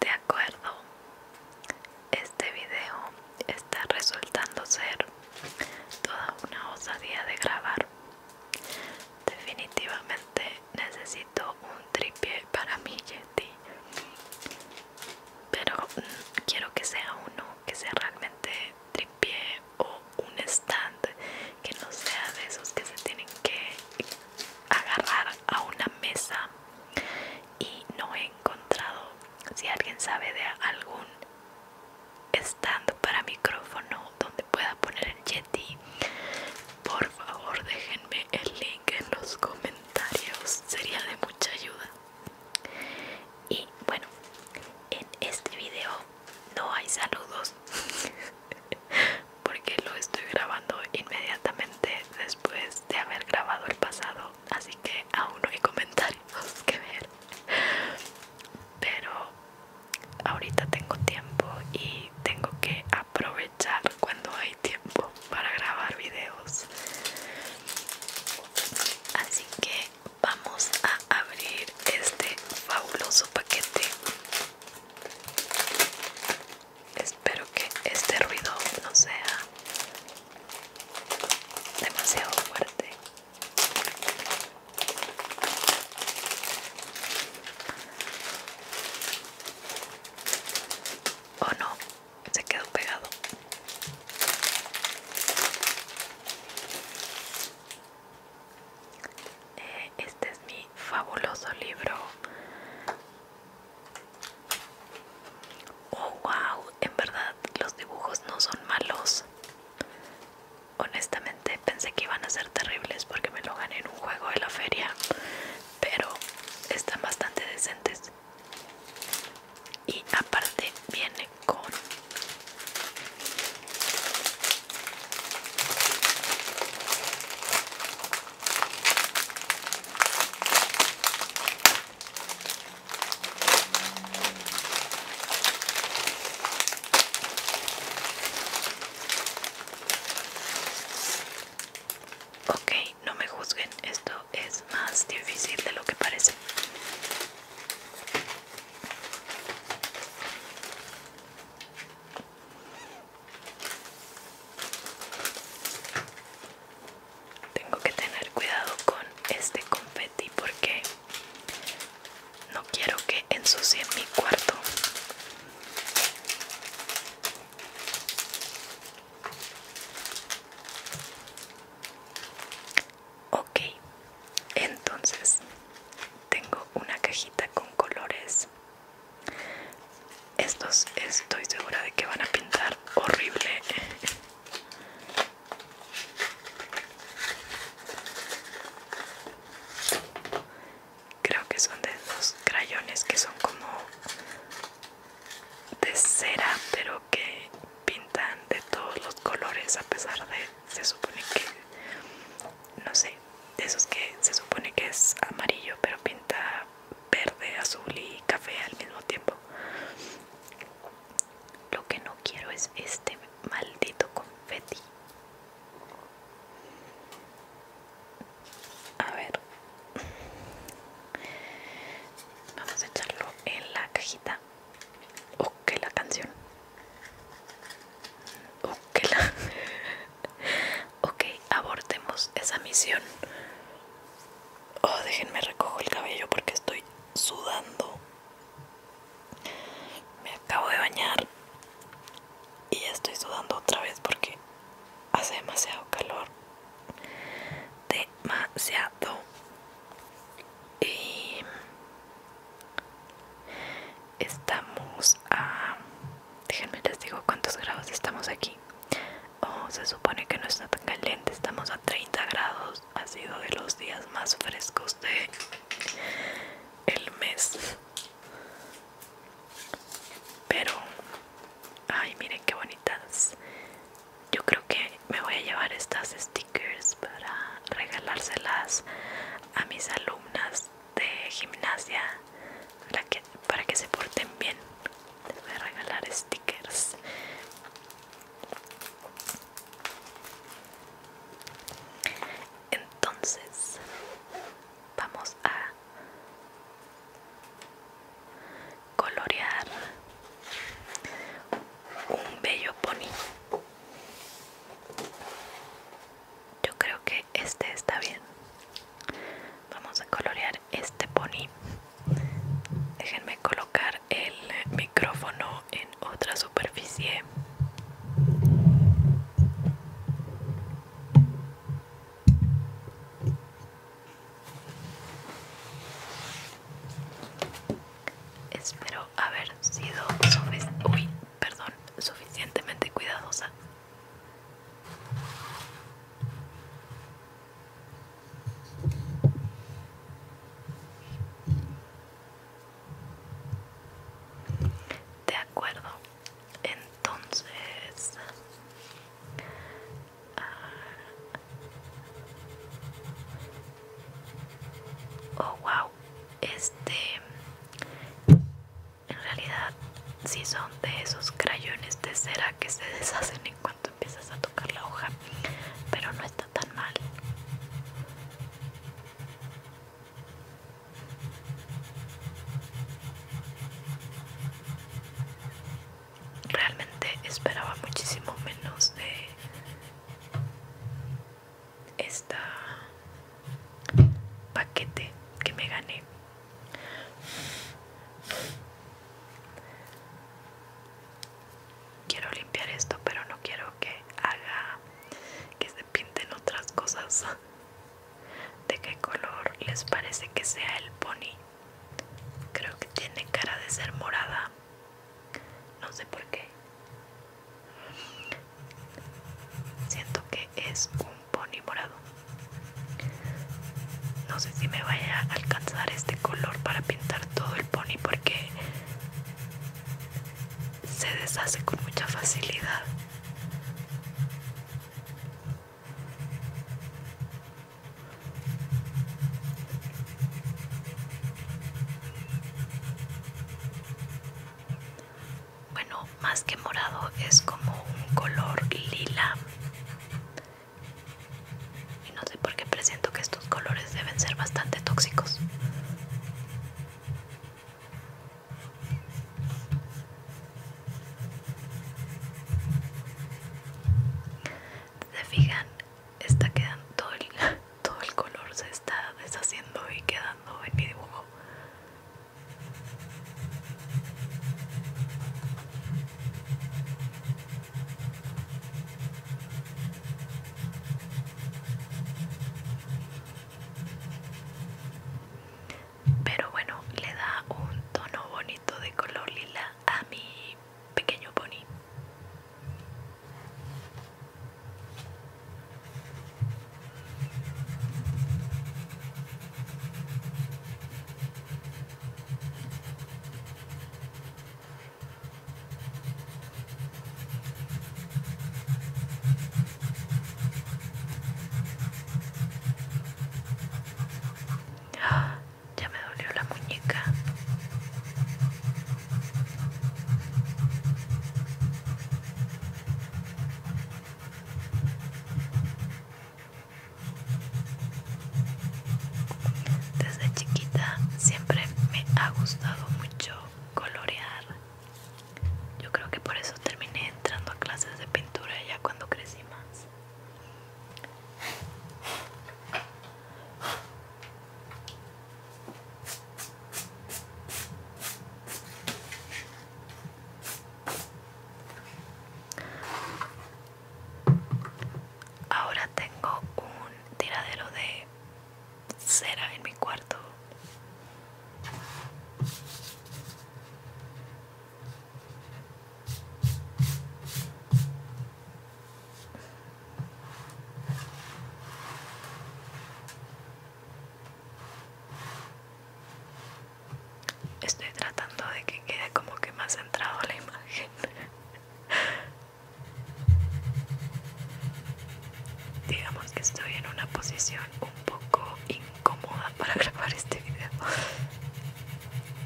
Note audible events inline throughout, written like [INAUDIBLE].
De acuerdo, este video está resultando ser toda una osadía de grabar. Definitivamente necesito un tripié para mi Yeti, pero mm, quiero que sea uno, que sea realmente tripié o un stand, que no sea de esos que se tienen que agarrar a una mesa y no he encontrado si alguien sabe de algún stand para micrófono donde pueda poner el yeti por favor déjenme el link en los comentarios sería de mucha ayuda y bueno en este video no hay saludos [LAUGHS] porque lo estoy grabando inmediatamente después de haber grabado el pasado así que aún no hay comentarios [LAUGHS] que ver pero ahorita tengo tiempo y tengo que aprovechar cuando hay tiempo para grabar videos así que vamos a abrir este fabuloso paquete Espero que este ruido no sea demasiado fuerte. Oh no, se quedó pegado. Eh, este es mi fabuloso libro. Oh, wow, en verdad los dibujos no son malos. Honestamente pensé que iban a ser terribles porque me lo gané en un juego de la feria, pero están bastante decentes. Y aparte viene con Ok, no me juzguen, esto es más difícil de lo que parece. Tengo que tener cuidado con este confetti porque no quiero que ensucie mi cuarto. Ok, entonces tengo una cajita con colores estos estoy segura de que van a pintar horrible. Creo que son de esos crayones que son como de cera, pero que pintan de todos los colores a pesar de, se supone que, no sé, de, esos que se supone que es amarillo pero pinta verde, azul y café al mismo tiempo. Lo que no quiero es este maldito confeti. A ver. Vamos a echarlo en la cajita. o que la canción. [LAUGHS] ok, abortemos esa misión. Oh, déjenme recojo el cabello porque estoy sudando. Me acabo de bañar y estoy sudando otra vez porque hace demasiado calor. Demasiado. Y Estamos a... Déjenme les digo cuántos grados estamos aquí. Oh, se supone que no está tan caliente, estamos a 30 grados. Ha sido de los días más frescos de el mes. Pero... Ay, miren qué bonitas. Yo creo que me voy a llevar estas stickers para regalárselas a mis alumnas de gimnasia para que, para que se porten bien les voy a regalar stickers entonces vamos a colorear un bello pony yo creo que este está bien vamos a colorear este pony déjenme colocar el micrófono en otra superficie Espero haber sido suficiente. Uy, perdón, suficientemente cuidadosa. De acuerdo, entonces ah, oh wow este en realidad si son de esos crayones de cera que se deshacen en cuanto empiezas a tocar la hoja pero no está tan mal realmente esperaba muchísimo menos de esta paquete que me gané quiero limpiar esto pero no quiero que haga que se pinten otras cosas [LAUGHS] de qué color les parece que sea el pony creo que tiene cara de ser morada no sé por qué Siento que es un pony morado. No sé si me vaya a alcanzar este color para pintar todo el pony porque se deshace con mucha facilidad bueno más que morado es como un color lila y no sé por qué presiento que estos colores deben ser bastante tóxicos se fijan está quedando todo todo el color se está deshaciendo y quedando en mi dibujo pero bueno le da un tono bonito de color lila a mi pequeño pony ya me dolió la muñeca. Desde chiquita siempre me ha gustado mucho colorear. Yo creo que por eso terminé entrando a clases de pintura ya cuando crecí más. Ahora tengo un tiradero de cera en mi cuarto. Estoy tratando de que quede como que más centrado la imagen. [LAUGHS] Digamos que estoy en una posición un poco incómoda para [LAUGHS] grabar este video.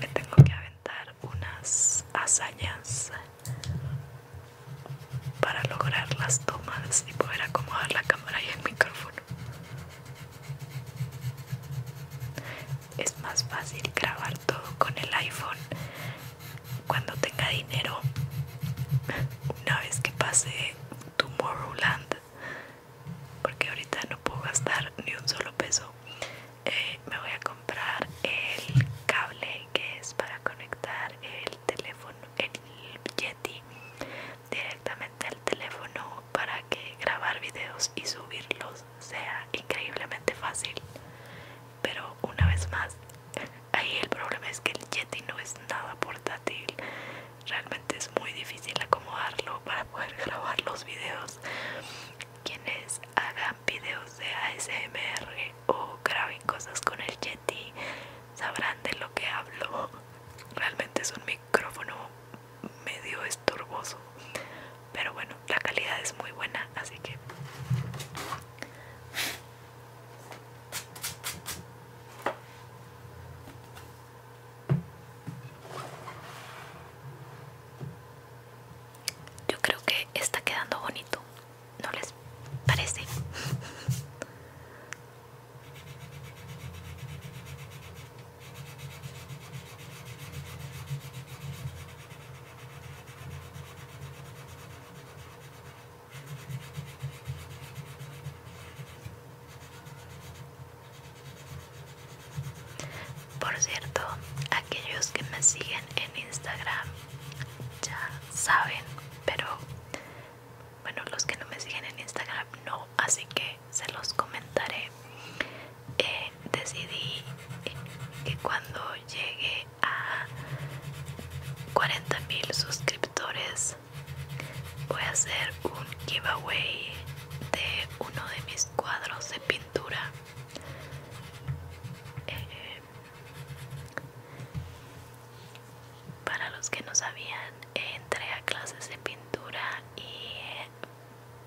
Me tengo que aventar unas hazañas para lograr las tomas y poder acomodar la cámara y el micrófono. Es más fácil grabar todo con el iPhone cuando tenga dinero. Una vez que pase Tomorrowland, porque ahorita no puedo gastar ni un solo peso, eh, me voy a comprar el cable que es para conectar el teléfono, el jetty directamente al teléfono para que grabar videos y subirlos sea increíblemente fácil. Pero una vez más, [LAUGHS] ahí el problema es que el jetty no es nada portátil. Realmente es muy difícil acomodarlo para poder [LAUGHS] grabar los videos. Quienes hagan videos de ASMR o graben cosas con el jetty sabrán de lo que hablo. Realmente es un micrófono medio estorboso. Pero bueno, la calidad es muy buena, así que... Yo creo que está quedando bonito. ¿No les parece? Por cierto, aquellos que me siguen en Instagram ya saben, pero bueno, los que no me siguen en Instagram no, así que se los comentaré. Eh, decidí que cuando llegue a 40 mil suscriptores voy a hacer un giveaway de uno de mis cuadros de pintura eh, para los que no sabían entré a clases de pintura y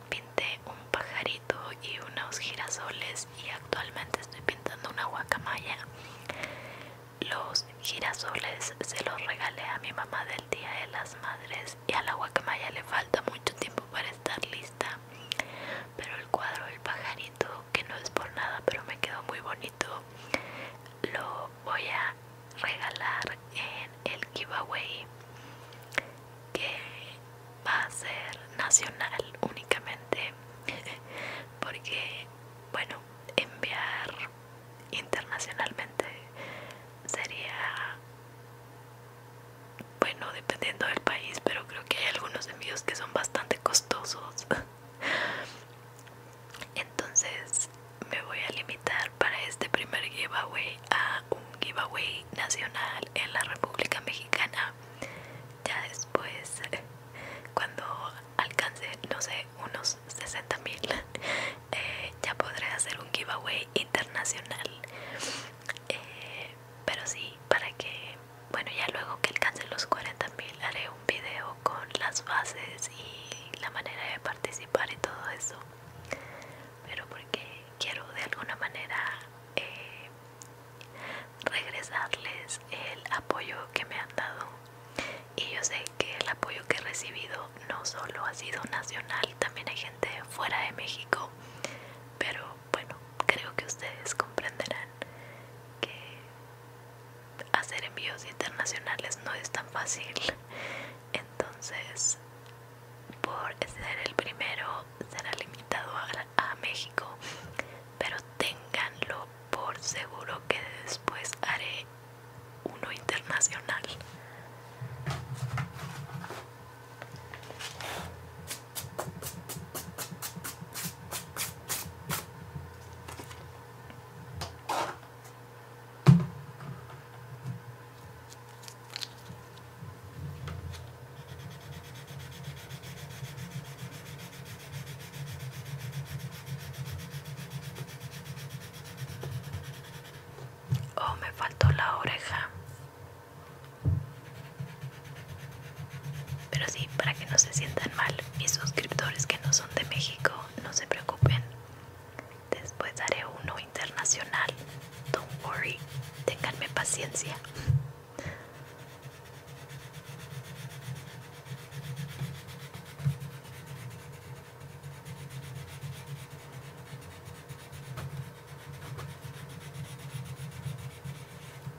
pinté un pajarito y unos girasoles y actualmente estoy pintando una guacamaya los girasoles se los regalé a mi mamá del día de las madres y a la guacamaya le falta mucho tiempo para estar lista pero el cuadro del pajarito que no es por nada pero me quedó muy bonito lo voy a regalar en el giveaway que va a ser nacional únicamente [LAUGHS] porque bueno enviar internacionalmente sería bueno dependiendo del país pero creo que hay algunos envíos que son bastante costosos [LAUGHS] entonces me voy a limitar para este primer giveaway a un giveaway nacional en la República Mexicana ya después [LAUGHS] cuando alcance no sé unos 60 mil [LAUGHS] eh, ya podré hacer un giveaway internacional eh, pero sí para que bueno ya luego que alcance los 40.000 haré un video con las bases y la manera de participar y todo eso pero porque quiero de alguna manera eh, regresarles el apoyo que me han dado y yo sé que el apoyo que he recibido no solo ha sido nacional también hay gente fuera de México pero bueno, creo que ustedes comprenderán que hacer envíos internacionales no es tan fácil. Entonces, por ser el primero, será limitado a, México. Pero ténganlo por seguro que después haré uno internacional. Oh, me faltó la oreja. Pero sí, para que no se sientan mal, mis suscriptores que no son de México, no se preocupen. Después haré uno internacional. Don't worry, tenganme paciencia.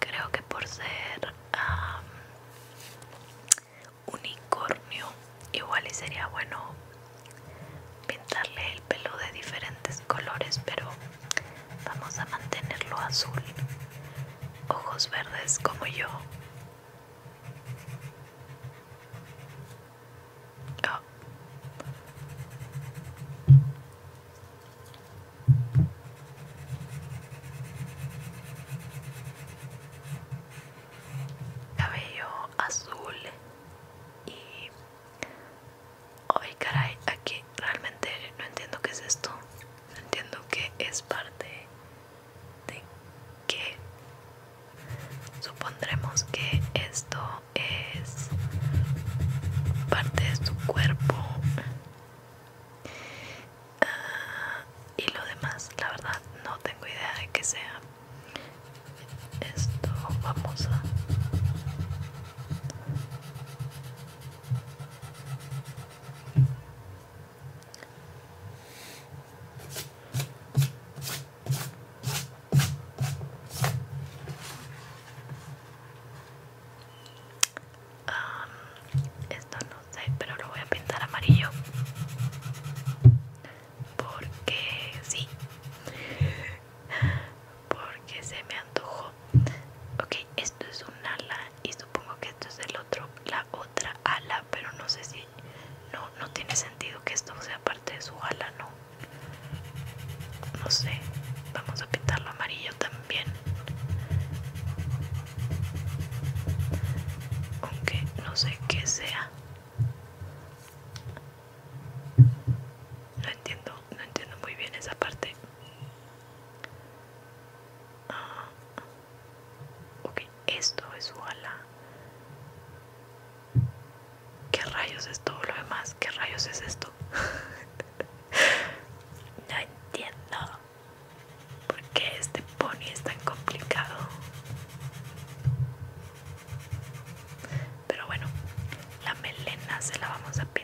Creo que por ser unicornio, igual y sería bueno pintarle el pelo de diferentes colores, pero vamos a mantenerlo azul ojos verdes como yo. Ah. Cabello azul y... Ay, caray, aquí realmente no entiendo qué es esto entiendo que es parte de que supondremos que esto es parte de su cuerpo ah, y lo demás la verdad no tengo idea de que sea esto vamos a Um, esto no sé, pero lo voy a pintar amarillo. Porque sí. Porque se me antojó. Ok, esto es una y supongo que esto es el otro la otra ala pero no sé si no no tiene sentido que esto sea parte de su ala no no sé vamos a pintarlo amarillo también aunque no sé qué sea no entiendo no entiendo muy bien esa parte ok, esto es su ala. ¿Qué rayos es todo lo demás? ¿Qué rayos es esto? [LAUGHS] no entiendo por qué este pony es tan complicado. Pero bueno, la melena se la vamos a pintar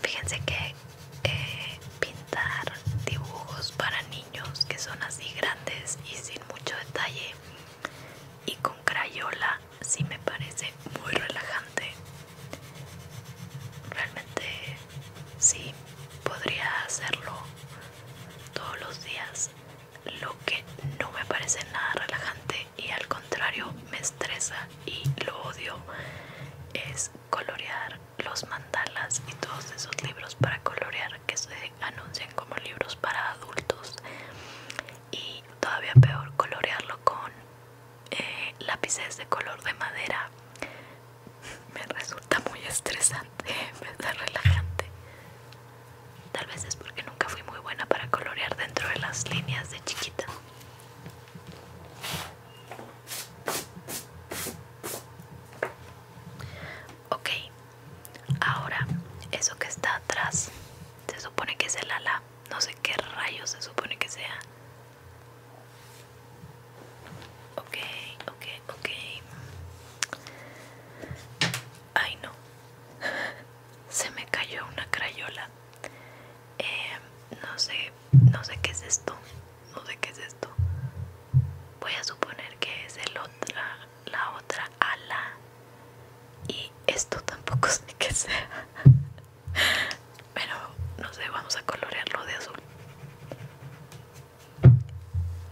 Fíjense que eh, pintar dibujos para niños que son así grandes y sin mucho detalle y con crayola sí me parece muy relajante. Realmente sí podría hacerlo todos los días lo que no me parece nada relajante y al contrario me estresa y lo odio es colorear los mandalas y todos esos libros para colorear que se anuncian como libros para adultos y todavía peor colorearlo con eh, lápices de color de madera me resulta muy estresante [LAUGHS] me da relajante Tal vez es porque nunca fui muy buena para colorear dentro de las líneas de chiquita. Ok, ahora eso que está atrás se supone que es el ala. No sé qué rayo se supone que sea. Ok, ok, ok. Ay no, [LAUGHS] se me cayó una crayola. Em, no sé, no sé qué es esto, no sé qué es esto. Voy a suponer que es el otra, la otra ala. Y esto tampoco [LAUGHS] sé qué sea. Pero no sé, vamos a colorearlo de azul.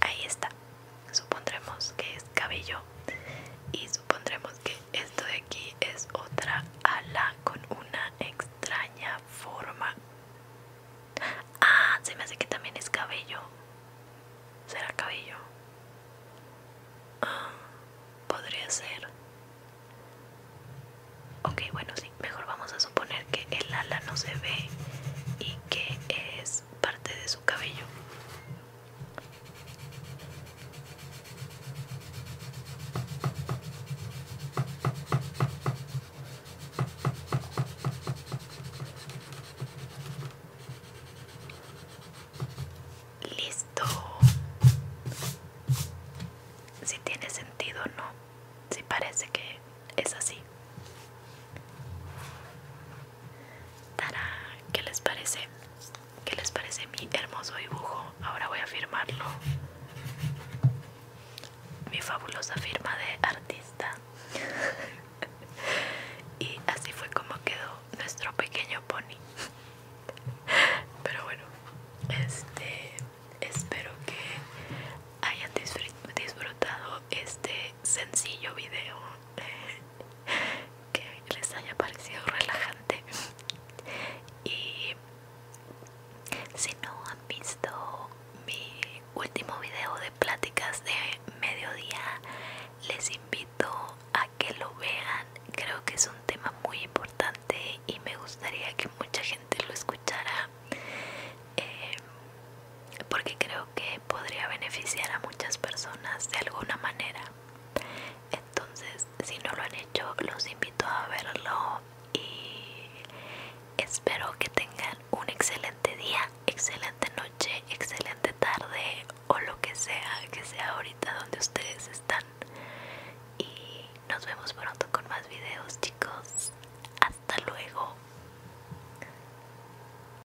Ahí está supondremos que es cabello y supondremos que esto de aquí es otra ala con una extraña forma ah se me hace que también es cabello será cabello ah, podría ser ok bueno sí mejor vamos a suponer que el ala no se ve y que es parte de su cabello Listo. Si tiene sentido no. Si parece que es así. Tara, ¿Qué les parece? ¿Qué les parece mi hermoso dibujo? Ahora voy a firmarlo. Mi fabulosa firma de artista. [LAUGHS] y así fue como quedó nuestro pequeño pony. Pero bueno, este espero que hayan disfrutado este sencillo video que les haya parecido relajante y si no han visto mi último video de pláticas de mediodía les invito a que lo vean creo que es un tema muy importante y me gustaría que mucha gente lo escuchara eh, porque creo que podría beneficiar a muchas personas de alguna manera. Entonces, si no lo han hecho, los invito a verlo y espero que tengan un excelente día, excelente noche, excelente tarde o lo que sea que sea ahorita donde ustedes están. Y nos vemos pronto con más videos, chicos. Hasta luego.